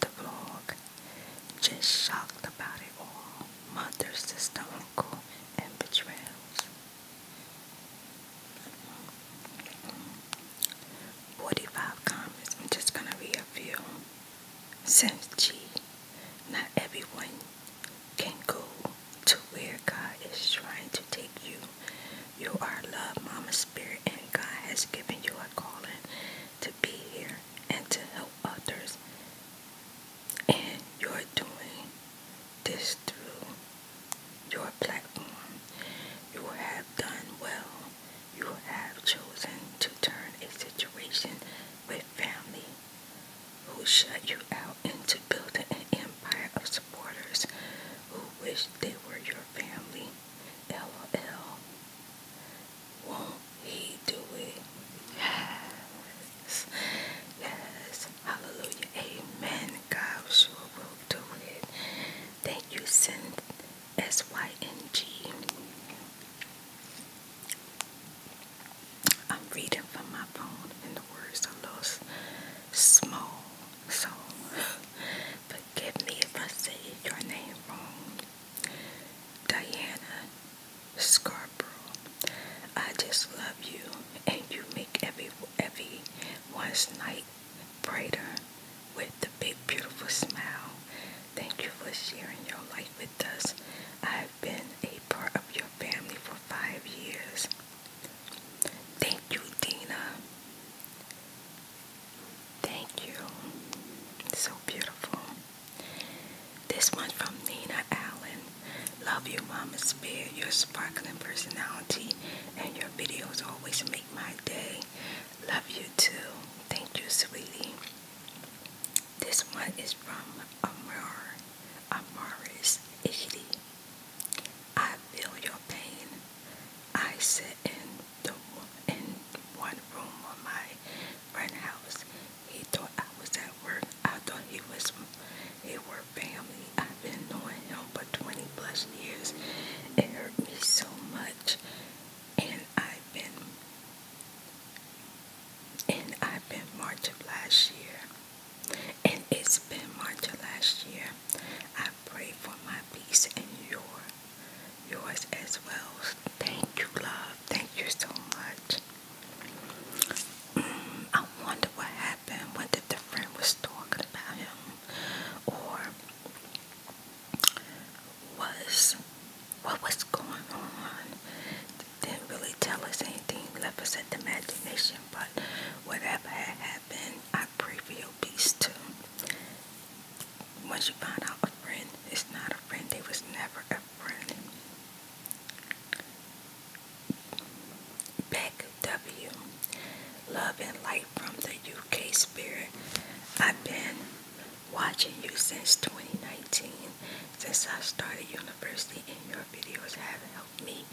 the vlog. Just shocked about it all. Mother, sister, uncle, and betrayals. Forty-five comments. I'm just gonna read Since G, not everyone can go to where God is trying to take you. You are loved, Mama Spirit, and God has given you a calling to be here and to help others. And you're doing this through your platform. You have done well. You have chosen to turn a situation with family who shut you out into building an empire of supporters who wish they were your family. LOL will he do it? Yes. Yes. Hallelujah. Amen. God sure will do it. Thank you, Sin S Y N G. I'm reading from my phone and the words are a little small. So forgive me if I say your name wrong. Diana Scarborough. I just love you, and you make every everyone's night brighter with the big beautiful smile. Thank you for sharing your life with us. I've been a part of your family for five years. Thank you, Dina. Thank you. So beautiful. This one's from Nina Allen. Love you, Mama Spirit. Your sparkling personality and your videos always make my day. Love you too. Thank you, sweetie. This one is from Amar Amaris Ishidi. I feel your pain. I sit in the in one room of my friend house he thought I was at work. I thought he was he were family. I've been knowing him for 20 plus years. It hurt me so much. And I've been and I've been March of last year. And it's been March of last year. I pray for my peace and your yours as well. Thank you, love. Thank you so much house. I wonder what happened, whether the friend was talking about him or was what was going on. Didn't really tell us anything, left us at the imagination, but whatever had happened, I pray for your peace too. Once you find out a friend is not a friend, they was never a Brandon. W. Love and light from the UK Spirit. I've been watching you since 2019. Since I started university, and your videos have helped me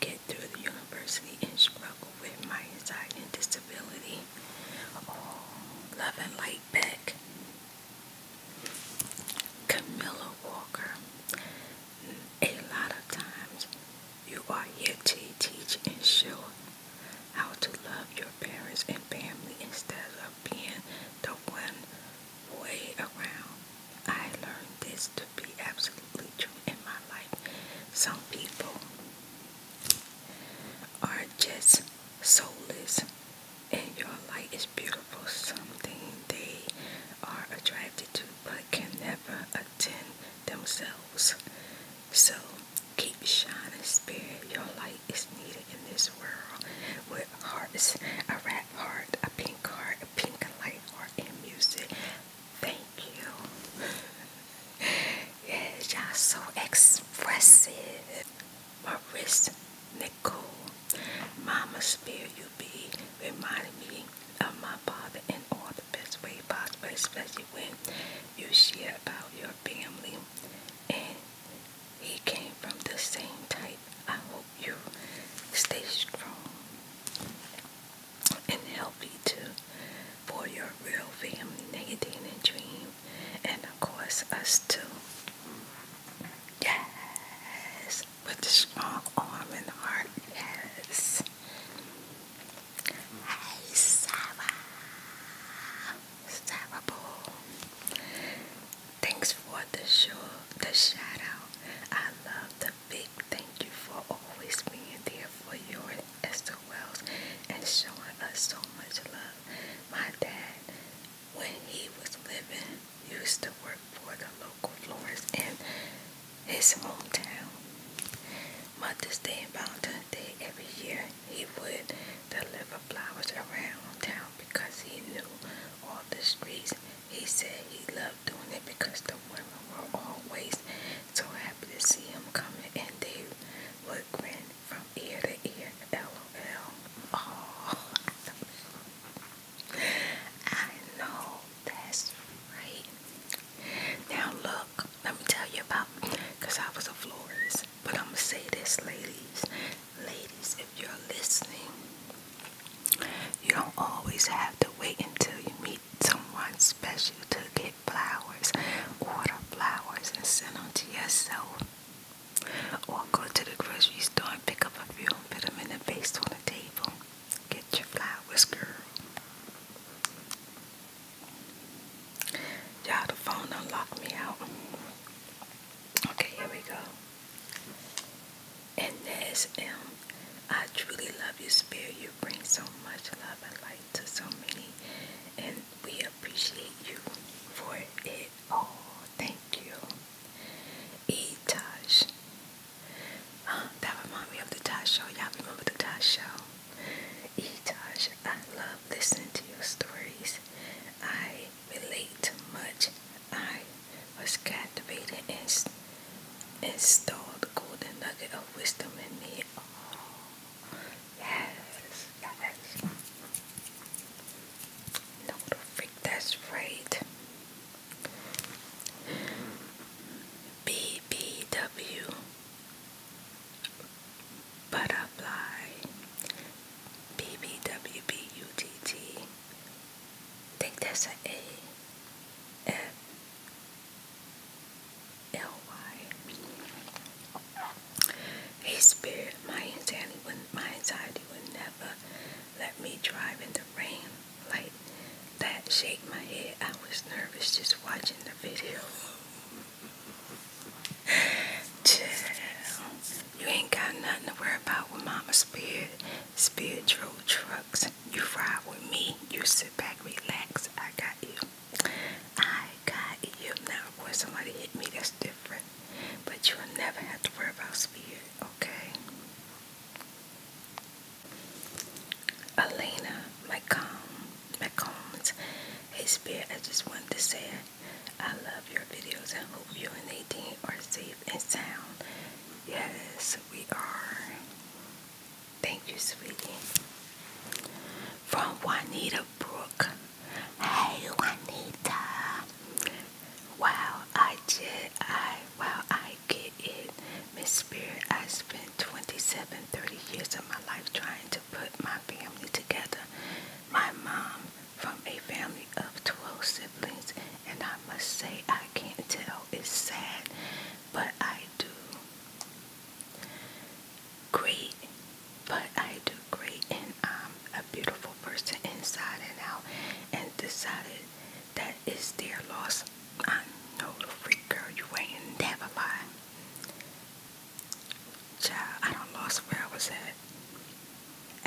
get through the university and struggle with my anxiety and disability. Oh, love and light back. Camilla Walker. A lot of times you are here to teach and show how to love your parents and family instead of being the one way around. I learned this to be absolutely true in my life. Some people are just soulless. And your light is beautiful, something they are attracted to but can never attain themselves. So keep shining, spirit. Your light is needed in this world with hearts, a red heart, a pink heart, a pink light heart, and music. Thank you. yeah, y'all so expressive. My Maurice Nicole. Mama spirit you be reminding me of my father in all the best way possible, especially when you share about your family. And he came from the same type. I hope you stay strong and healthy too for your real family. Negative and dream and of course us too. Yes, with the strong arm and heart. Yes. Hey, Sarah, Sarah Thanks for the show, the shout I love the big thank you for always being there for your Esther Wells and showing us so much love. My dad, when he was living, used to work for the local florist in his hometown. Mother's Day and Valentine's Day every year, he would deliver flowers around town because he knew all the streets. He said he loved doing it because the women were always so happy to see him coming and they would grin from ear to ear. LOL. Oh, I know that's right. Now, look, let me tell you about because I was a florist, but I'm gonna say this, ladies. Ladies, if you're listening, you don't always have to wait until you meet someone special to get flowers. water flowers and send them to yourself. Or go to the grocery store and pick up a few and put them in a vase on the table. Get your flowers, girl. Y'all, the phone unlocked me out. Okay, here we go. And there's M. I truly love your spirit. You bring so much love and light to so many. And we appreciate you for it all. Thank you. E. Tosh. Uh, ah, that remind me of the Tosh Show. Y'all remember the Tosh Show? E. Tosh, I love listening to your stories. I relate much. I was captivated and, installed the golden nugget of wisdom in me. Oh, yes, yes. No, freak, that's right. BBW Butterfly BBWBUTT. Think that's an spirit, my anxiety would my anxiety would never let me drive in the rain like that shake my head. I was nervous just watching the video. Chill. You ain't got nothing to worry about with Mama Spirit. Spirit drove trucks. You ride with me. You sit back, relax. I got you. I got you. Now, of somebody hit me. That's but you will never have to worry about spirit, okay? Elena McComb, McCombs, hey spirit, I just wanted to say I love your videos and hope you and Nadine are safe and sound. Yes, we are. Thank you, sweetie. From Juanita Brook. Hey Juanita. I wow, I get it. Miss Spirit, I spent 27, 30 years of my life trying to put my family together. My mom from a family of 12 siblings, and I must say I can't tell. It's sad, but I do. Great, but I do great and I'm um, a beautiful person inside and out and decided that is their loss. I know the freak girl you ain't never lie. Child, I don't lost where I was at.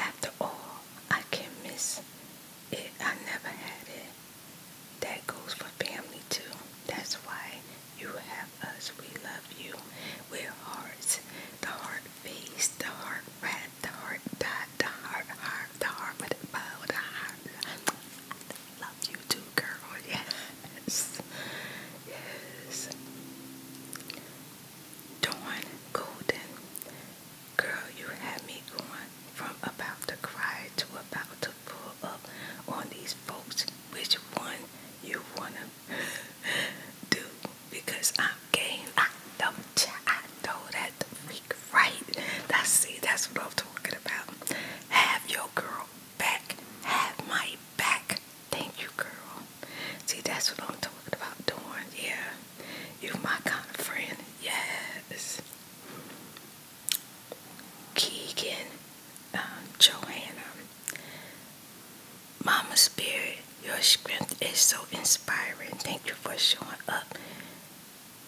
After all, I can miss it. I never had it. That goes for family too. That's why you have us. We love you. We're hearts. The heart face, the heart rat, the heart, the, the heart, heart, the heart with the bow, the heart. I love you too, girl. Yes, yes. Dawn Golden, girl, you had me going from about to cry to about to pull up on these folks. Which one you wanna do? Because I'm game. I know, I know that the freak right. That's see, that's what I'm talking about. Have your girl back. Have my back. Thank you, girl. See, that's what I'm talking about doing. Yeah, you are my kind of friend. Yes. Keegan, um, Joanna. Mama Spirit, your strength is so inspiring. Thank you for showing up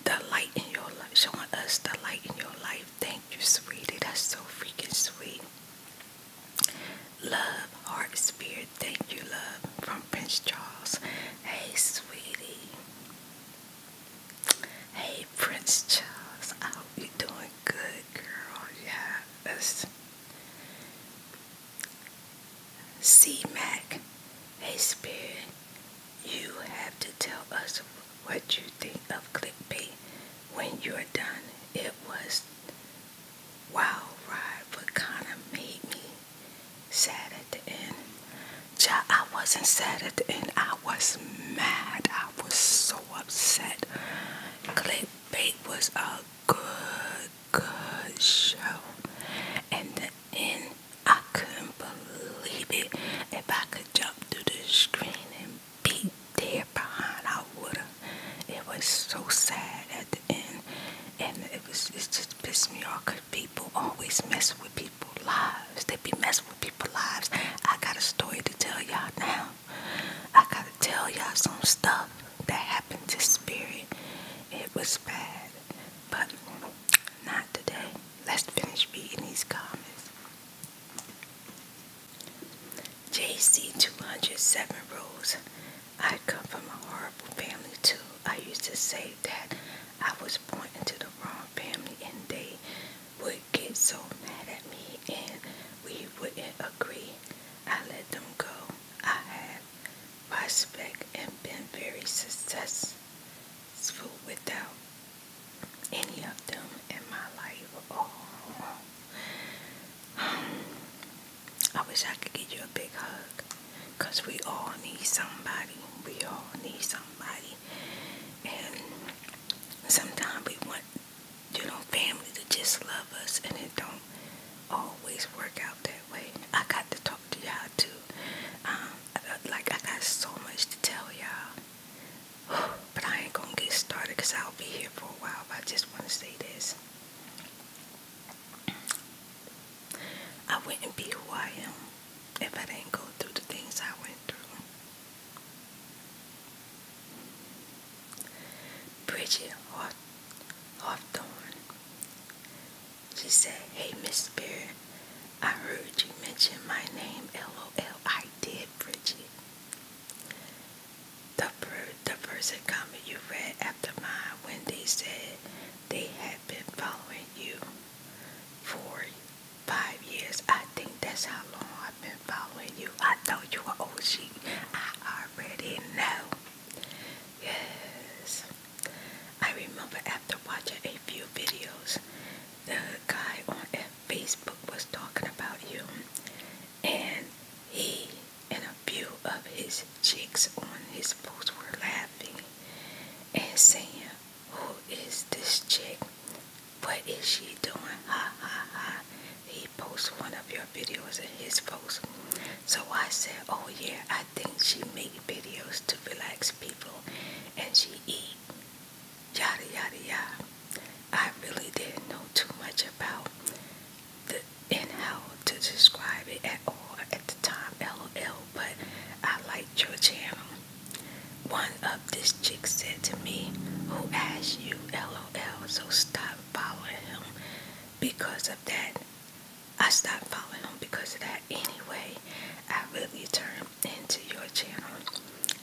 the light in your life, showing us the light in your life. Thank you, sweetie. That's so freaking sweet. Love, heart, spirit. Thank you, love. From Prince Charles. Hey, sweetie. Hey, Prince Charles. I hope you're doing good, girl. Yeah, that's C Mac, hey Spirit, you have to tell us what you think of clip bait. when you're done. It was wild ride, but kind of made me sad at the end. Ja, I wasn't sad at the end. I was mad. I was so upset. Clip bait was a good good show. And the end, I couldn't believe it. If I could jump to the screen and be there behind, I would've. It was so sad at the end, and it was it just pissed me off. Cause people always mess with people's lives. They be messing with people's lives. I got a story to tell y'all now. I gotta tell y'all some stuff that happened to Spirit. It was bad, but not today. Let's finish reading these comments. JC207 Rose. I come from a horrible family too. I used to say that I was born into the wrong family and they would get so mad at me and we wouldn't agree. I let them go. I had Respect and been very successful without any of them in my life. I wish I could give you a big hug because we all need somebody. We all need somebody. And sometimes we want, your know, family to just love us and it don't always work out that way. I got to talk to y'all too. Um, like I got so much to tell y'all, but I ain't gonna get started because I'll be here for a while. But I just want to say this: I wouldn't be who I am if I didn't go through the things I went through. Bridget Hawthorne she said, Hey, Miss Spirit, I heard you mention my name. LOL, I did, Bridget. The, first comment you read after mine when they said they had been following you for five years. I think that's how long I've been following you. I know you are OG. I already know. Yes. I remember after watching a few videos, the guy on Facebook was talking about you, and he and a few of his chicks on his post were laughing and saying, Who is this chick? What is she doing? Ha ha ha. He posts one of your videos in his post. So I said, oh yeah, I think she make videos to relax people and she eat, yada, yada, yada. I really didn't know too much about the and how to describe it at all at the time, lol, but I liked your channel. One of this chick said to me, who asked you, lol, so stop following him because of that. I stopped following him because of that anyway. I really turned into your channel.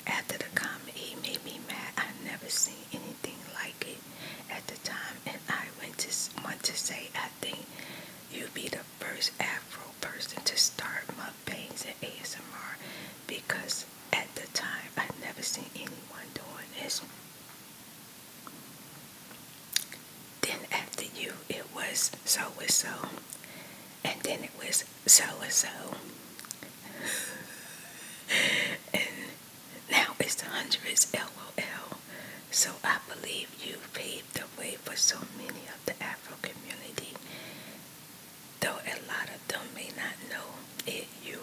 After the comment, he made me mad. I never seen anything like it at the time, and I went to want to say I think you'd be the first Afro person to start my pains and ASMR because at the time I never seen anyone doing this. Then after you, it was so and so, and then it was so and so, and now it's the hundreds. LOL. So I believe you paved the way for so many of the Afro community, though a lot of them may not know it. You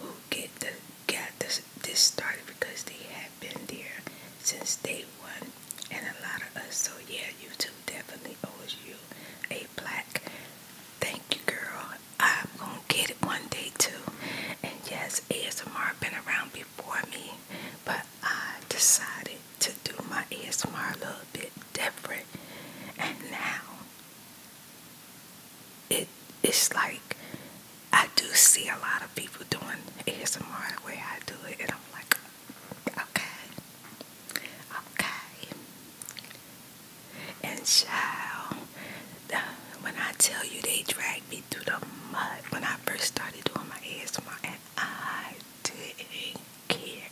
who get the got this this started because they had been there since day one and a lot of us so yeah YouTube definitely owes you a black. thank you girl I'm gonna get it one day too and yes ASMR been around before me but I decided to do my ASMR a little bit different and now it's like I do see a lot of people doing ASMR the way I do it, and I'm like, okay, okay. And child, uh, when I tell you they dragged me through the mud when I first started doing my ASMR, and I didn't care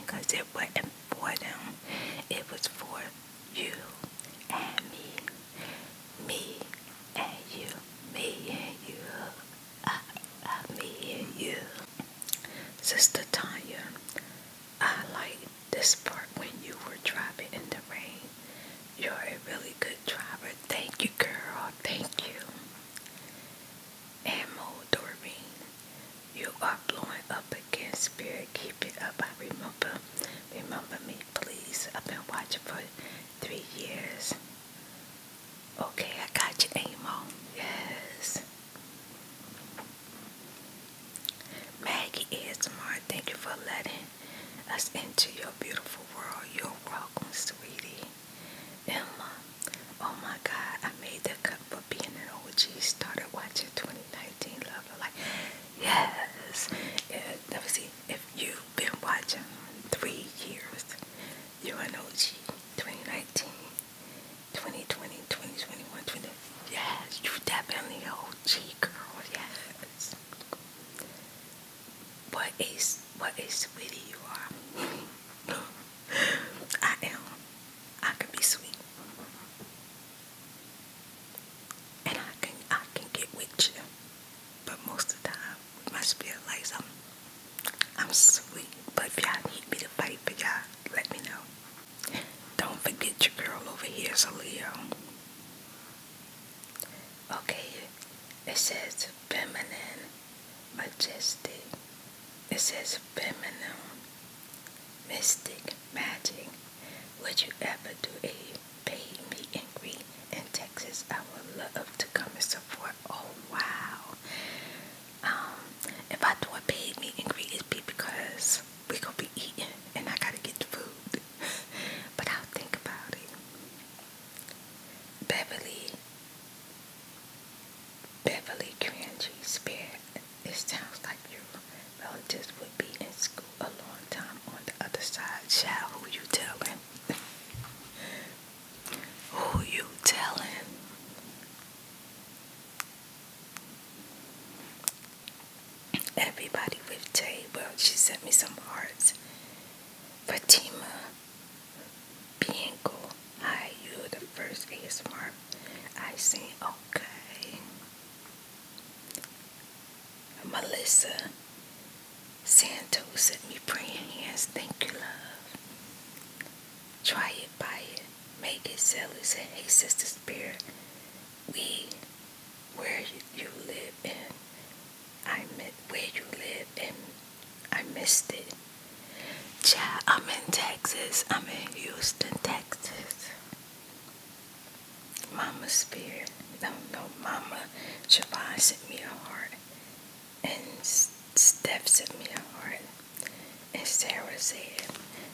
because it wasn't for them, it was for you and me me and you, me and you, I, I, me and you. Sister Tanya, I like this part when you were driving in the rain. You're a really good driver. Thank you, girl. Thank you. And Mo you are blowing up again, spirit. Keep it up. I remember. Remember me, please. I've been watching for three years. Okay, I got you, Amo. Yes. Maggie ASMR, thank you for letting us into your beautiful world. You're sweetie. Emma, oh my God, I made that cut for being an OG. Started watching 2019 Love. Like, yes. let me see. If you been watching three years. You're an OG. 2019, 2020, 2021, 2022. Yes, you definitely an OG girl. Yes. What a sweetie you are. I am. I can be sweet. And I can I can get with you. But most of the time my spirit lights. I'm, I'm sweet, but if y'all need me to fight for y'all, let me know. Don't forget your girl over here is a Leo. Okay, it says feminine, majestic. It says feminine, mystic, magic. Would you ever do it? Pay me and greet in Texas. I would love to come and support. Oh wow! Um, if I do a paid me and greet, it'd be because we gonna be eating, and I gotta get the food. but I'll think about it. Beverly, Beverly Crangy Spirit. It sounds like your relatives would be in school a long time on the other side. Child, who you telling? Who you tellin'? Everybody with Tay. Well, she sent me some hearts. Fatima Bianco. Hi, you the first ASMR I seen. Okay. Melissa Santos sent me praying hands. Thank you, love. Try it, buy it, make it, sell it. Say, hey, Sister Spirit, we, where you live in, I met where you live in? I missed it. Child, I'm in Texas. I'm in Houston, Texas. Mama Spirit, no, no, Mama Siobhan sent me a heart and steps sent my heart. And Sarah said,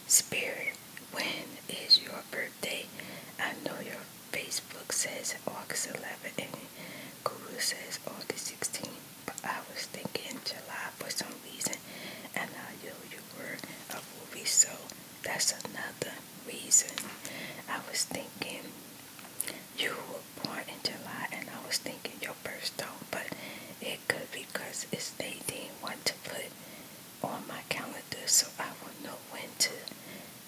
Spirit, when is your birthday? I know your Facebook says August 11, and Google says August 16, but I was thinking July for some reason, and I knew you were a movie, so that's another reason. I was thinking you were born in July, and I was thinking your birthday, but it could be because they didn't want to put on my calendar, so I will know when to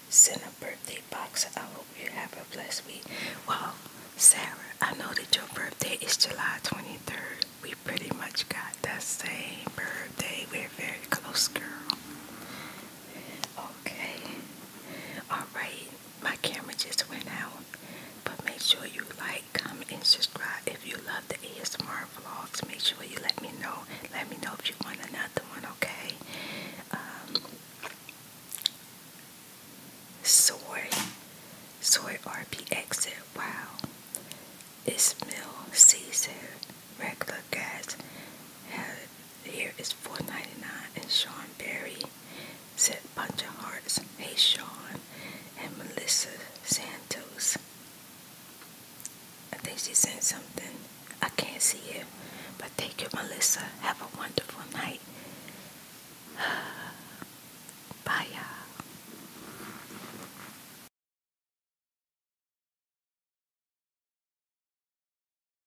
send a birthday box. I hope you have a blessed week. Well, Sarah, I know that your birthday is July 23rd. We pretty much got the same birthday. We're very close, girl. Okay. Alright, my camera just went out. But make sure you like, comment, and subscribe. If you love the ASMR vlogs, make sure you let me know. Let me know if you want another one, okay? Um, soy, soy. R P RPX. Wow. Ismail Caesar. Regular gas. Had theres 4.99, and Sean Barry said Bunch of Hearts, Hey Sean, and Melissa Santos. I think she sent something. I can't see it. But thank you, Melissa. Have a wonderful night. Bye, you